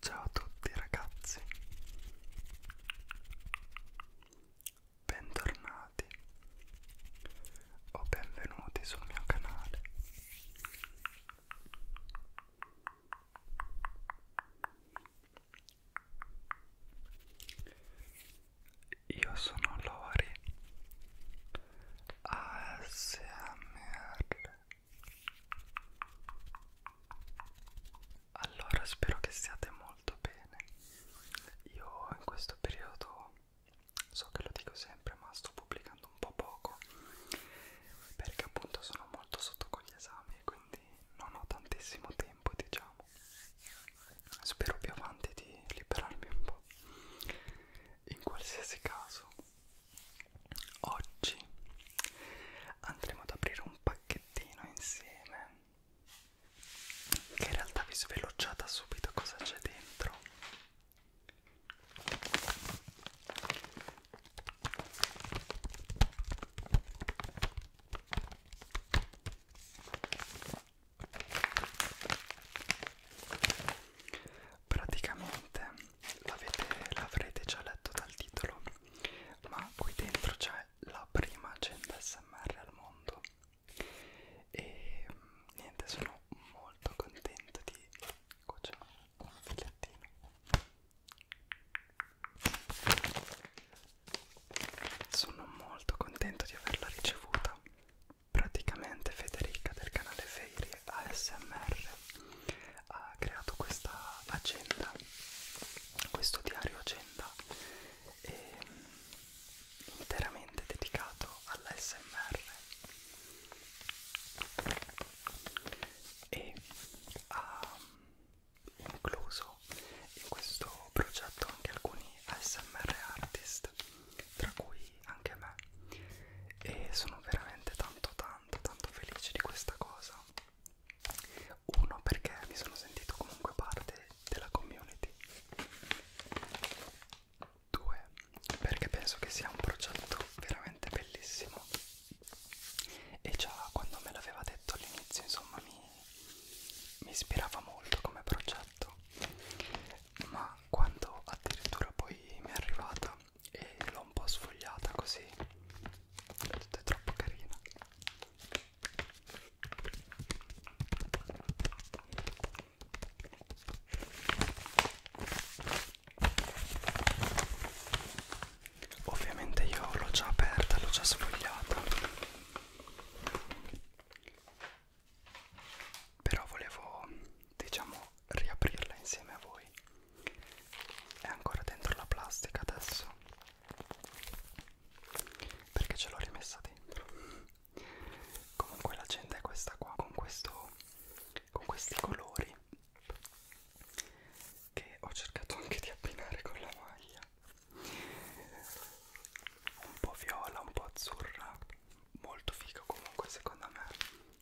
Ciao a tutti ragazzi, bentornati o benvenuti sul mio canale. Io sono Lori ASMR Allora spero che stiate molto bene Io in questo periodo so che lo dico sempre ma sto pubblicando un po' poco perché appunto sono molto sotto con gli esami quindi non ho tantissimo tempo diciamo Spero più avanti di liberarmi un po'. In qualsiasi caso, oggi andremo ad aprire un pacchettino insieme. Che in realtà vi sveluccia da subito cosa c'è dentro praticamente l'avrete già letto dal titolo ma qui dentro c'è la prima agenda smr al mondo e niente sono molto contento di qua c'è un filettino sono molto contento di averla ricevuta praticamente Federica del canale Fairy ASMR ha creato questa agenda, questo diario agenda e, mm, interamente dedicato all'ASMR e ha incluso in questo progetto anche alcuni ASMR artist, tra cui anche me, e sono veramente tanto tanto tanto felice di questa cosa. Uno perché mi sono sentito comunque parte della community. Due, perché penso che sia un progetto veramente bellissimo. E già quando me l'aveva detto all'inizio, insomma, mi, mi ispirava molto come progetto ma quando addirittura poi mi è arrivata e l'ho un po' sfogliata così è troppo carina ovviamente io l'ho già aperta l'ho già sfogliata però volevo diciamo riaprirla insieme a voi è ancora dentro la plastica adesso perché ce l'ho rimessa dentro comunque l'agenda è questa qua con questo con questi colori che ho cercato anche di abbinare con la maglia un po' viola un po' azzurra molto figo comunque secondo me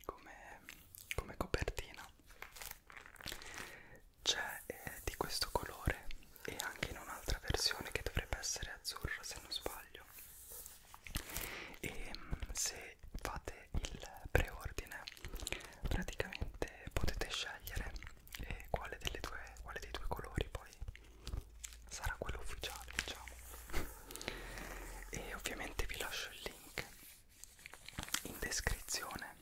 come, come copertina c'è eh, di questo colore e anche in un'altra versione che dovrebbe essere azzurra se non sbaglio e mm, se fate il preordine praticamente potete scegliere eh, quale, delle due, quale dei due colori poi poi sarà quello ufficiale diciamo e ovviamente vi lascio il link in descrizione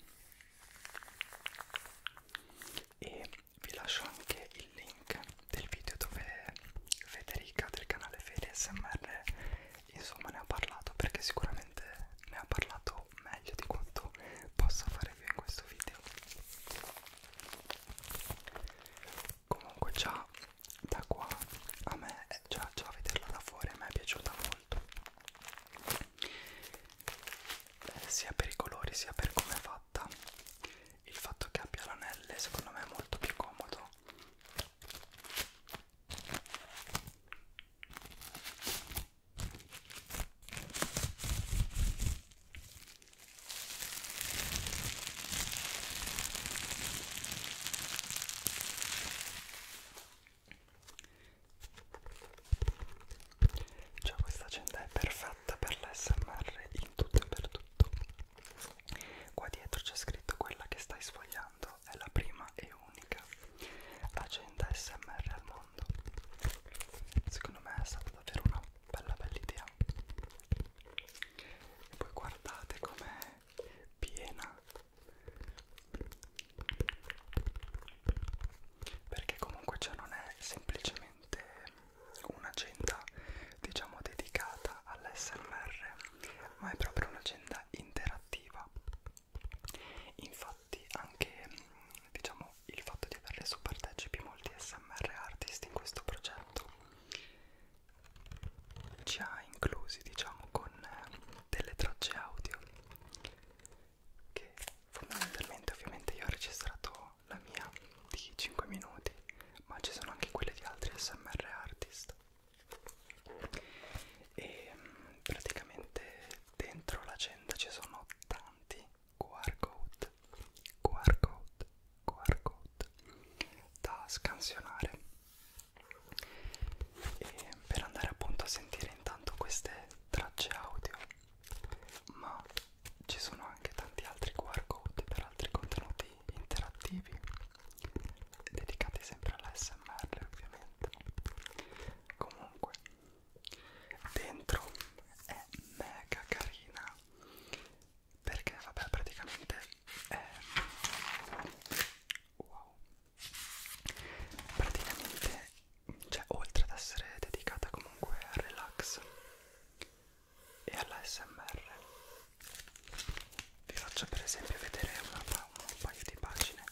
e vi lascio anche il link del video dove Federica del canale Fede SMR insomma ne ha parlato perché sicuramente ne ha parlato meglio di quanto possa fare io in questo video comunque già da qua a me eh, già, già a vederla da fuori a me è piaciuta molto eh, sia per i colori sia per come è fatta il fatto che abbia l'anelle secondo me è molto più comodo cioè questa agenda è perfetta per l'SMR in tutto e per tutto. Qua dietro c'è scritto quella che stai sfogliando, è la prima e unica agenda SMR al mondo. Secondo me è stata davvero una bella bella idea e poi guardate com'è piena perché comunque cioè non è semplicemente un'agenda diciamo dedicata all'SMR ma è proprio un'agenda interattiva infatti anche diciamo il fatto di averle su partecipi molti smr artist in questo progetto ci ha inclusi diciamo con eh, delle tracce audio che fondamentalmente ovviamente io ho registrato la mia di 5 minuti ma ci sono anche quelle di altri smr artist e mm, praticamente dentro l'agenda ci sono tanti QR code QR code QR code da scansionare e per andare appunto a sentire intanto queste tracce audio ma ci sono anche tanti altri QR code per altri contenuti interattivi dedicati sempre all'ASMR ovviamente comunque dentro è mega carina perché vabbè praticamente è... Eh, wow praticamente cioè oltre ad essere dedicata comunque al relax e all'ASMR vi faccio per esempio vedere una, un paio di pagine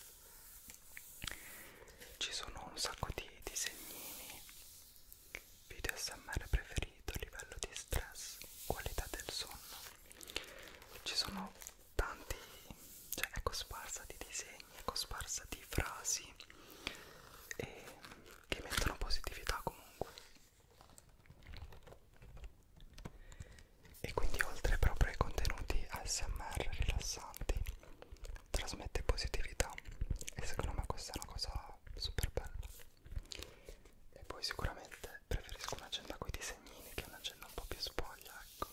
ci sono un sacco di disegnini video smr preferiti preferito, livello di stress, qualità del sonno. Ci sono tanti, cioè è cosparsa ecco, di disegni, è cosparsa ecco, di frasi e che mettono positività comunque. E quindi oltre proprio ai contenuti ASMR rilassanti, trasmette positività e secondo me questa è una cosa super bella e poi sicuramente preferisco un'agenda con i disegnini che un'agenda un po' più spoglia ecco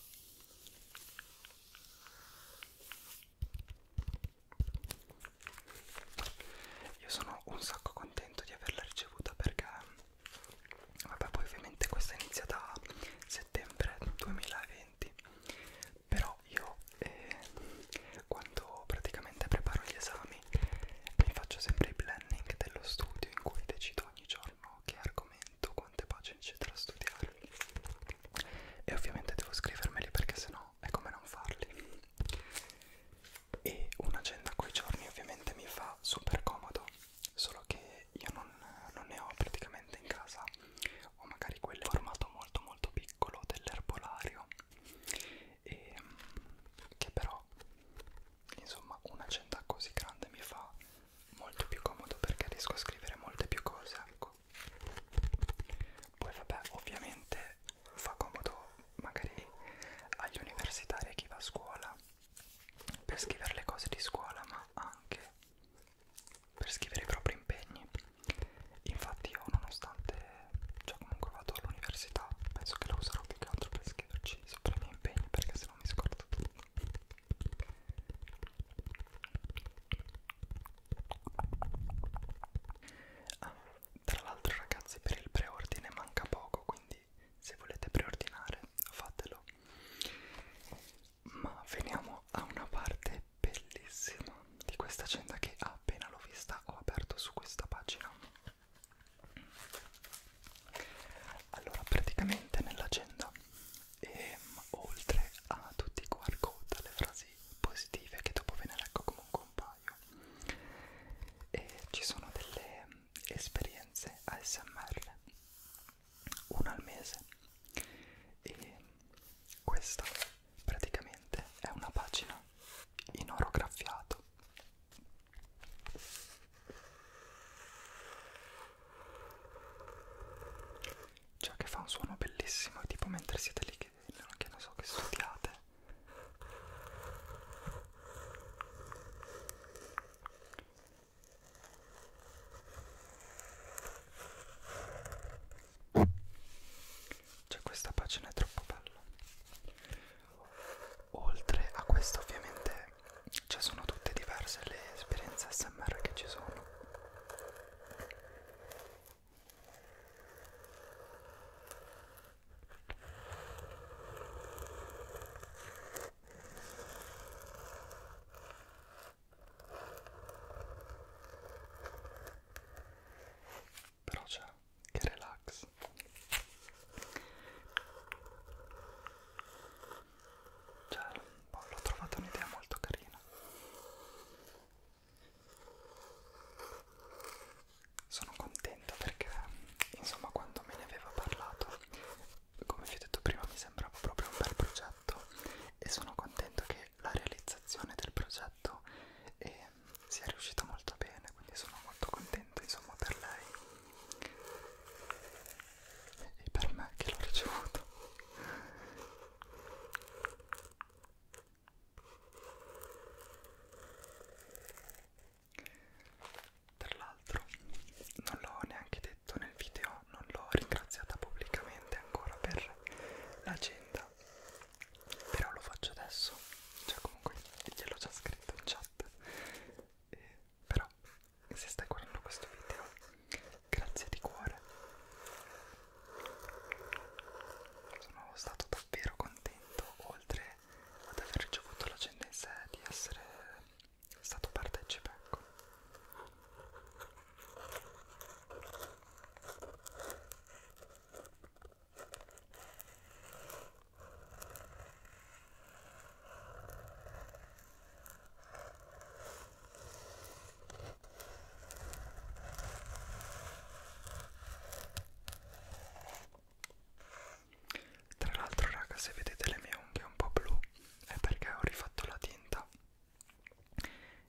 io sono un sacco contento di averla ricevuta perché vabbè poi ovviamente questa inizia da settembre 2020 però io eh, quando praticamente preparo gli esami giorni mi faccio sempre il planning dello studio in cui decido ogni giorno che argomento, quante pagine c'è da studiare e ovviamente devo scrivermeli perché sennò è come non farli e un'agenda coi giorni ovviamente mi fa super comodo solo che io non, non ne ho praticamente in casa ho magari quel formato molto molto piccolo dell'erbolario e che però insomma un'agenda così grande mi fa molto più comodo perché riesco a scrivere molte più cose ecco poi vabbè ovviamente fa comodo magari agli universitari e chi va a scuola per scrivere le cose di scuola ma anche per scrivere i propri impegni infatti io nonostante già cioè, comunque vado all'università penso che la userò più che altro per scriverci preciso tra i miei impegni perché sennò mi scordo tutto ah, tra l'altro ragazzi per il preordine manca poco quindi se volete preordinare fatelo ma veniamo a una parte bellissima di questa agenda che appena l'ho vista ho aperto su questa pagina allora, praticamente nell'agenda, ehm, oltre a tutti i QR code, le frasi positive che dopo ve ne leggo comunque un paio, e eh, ci sono delle esperienze ASMR, una al mese, e questa praticamente è una pagina in oro graffiato cioè che fa un suono bellissimo, tipo mentre siete lì che, che non so che studiate. Cioè questa pagina è troppo bella. Oltre a questo ovviamente ci sono tutte diverse le esperienze SMR che ci sono. Però c'è che relax Yes. Cioè, boh, l'ho trovata un'idea molto carina. Sono contenta perché, insomma, quando me ne aveva parlato, come vi ho detto prima, mi sembrava proprio un bel progetto e sono contento che la realizzazione del progetto e ehm, sia riuscita molto bene, quindi sono molto contenta divertimento insomma per lei e per me che l'ho ricevuto Tra l'altro non l'ho neanche detto nel video, non l'ho ringraziata pubblicamente ancora per l'agenda, però lo faccio adesso, cioè comunque gliel'ho già scritto in chat e però se stai guardando questo video grazie di cuore sono stato davvero contento oltre ad aver ricevuto la gendenza di essere stato partecipe ecco. Tra l'altro raga se vedete le mie unghie un po' blu è perché ho rifatto la tinta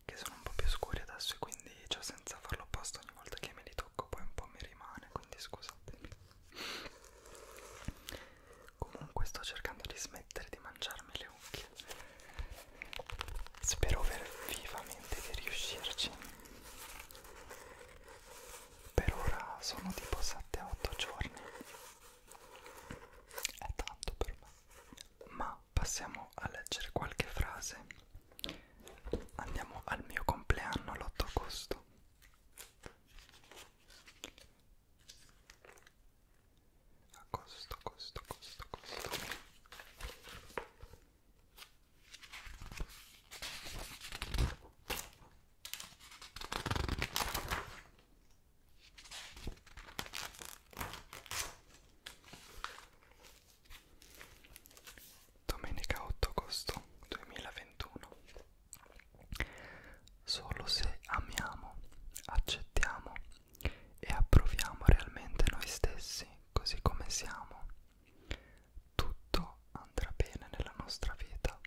che sono un po' più scure adesso e quindi cioè senza farlo apposta ogni volta che me li tocco poi un po' mi rimane quindi scusatemi Comunque sto cercando di smettere di mangiarmi le unghie. Spero ver vivamente di riuscirci. Per ora sono tipo 7-8 giorni. È tanto per me. Ma passiamo a leggere qualche frase. Andiamo al mio compleanno l'8 agosto a costo costo costo costo Domenica 8 agosto 2021 Solo se amiamo, accettiamo e approviamo realmente noi stessi così come siamo, tutto andrà bene nella nostra vita.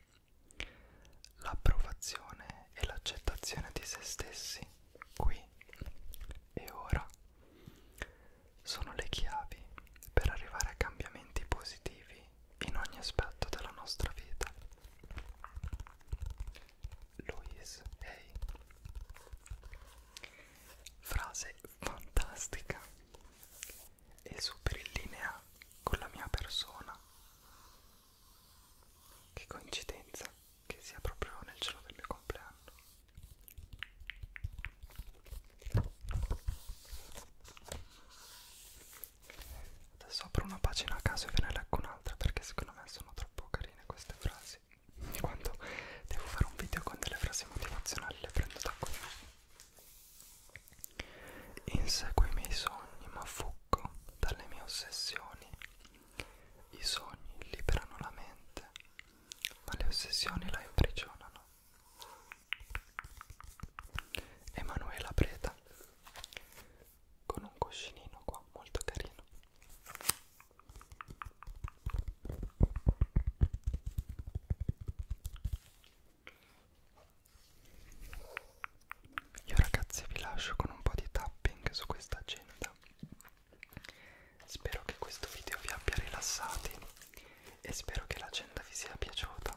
L'approvazione e l'accettazione di se stessi, qui e ora, sono le chiavi per arrivare a cambiamenti positivi in ogni aspetto della nostra vita. Louise Hay. Frase fantastica e super in linea con la mia persona. Che coincidenza che sia proprio nel giorno del mio compleanno. Adesso apro una pagina a caso e ve ne leggo un'altra perché secondo me sono troppo carine queste frasi. Quando devo fare un video con delle frasi motivazionali le prendo da qui. Inseguo i miei sogni ma fuggo dalle mie ossessioni. I sogni liberano la mente, ma le ossessioni la imprigionano. Emanuela Preta con un cuscinino qua molto carino io ragazzi vi lascio con un po' di tapping su questa agenda spero che questo video vi abbia rilassati e spero che l'agenda vi sia piaciuta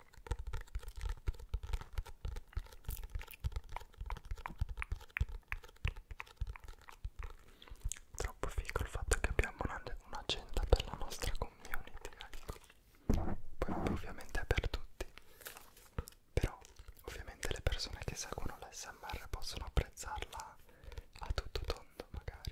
Troppo figo il fatto che abbiamo un'agenda per la nostra community, ecco. Poi ovviamente è per tutti. Però ovviamente le persone che seguono l'SMR possono apprezzarla a tutto tondo magari.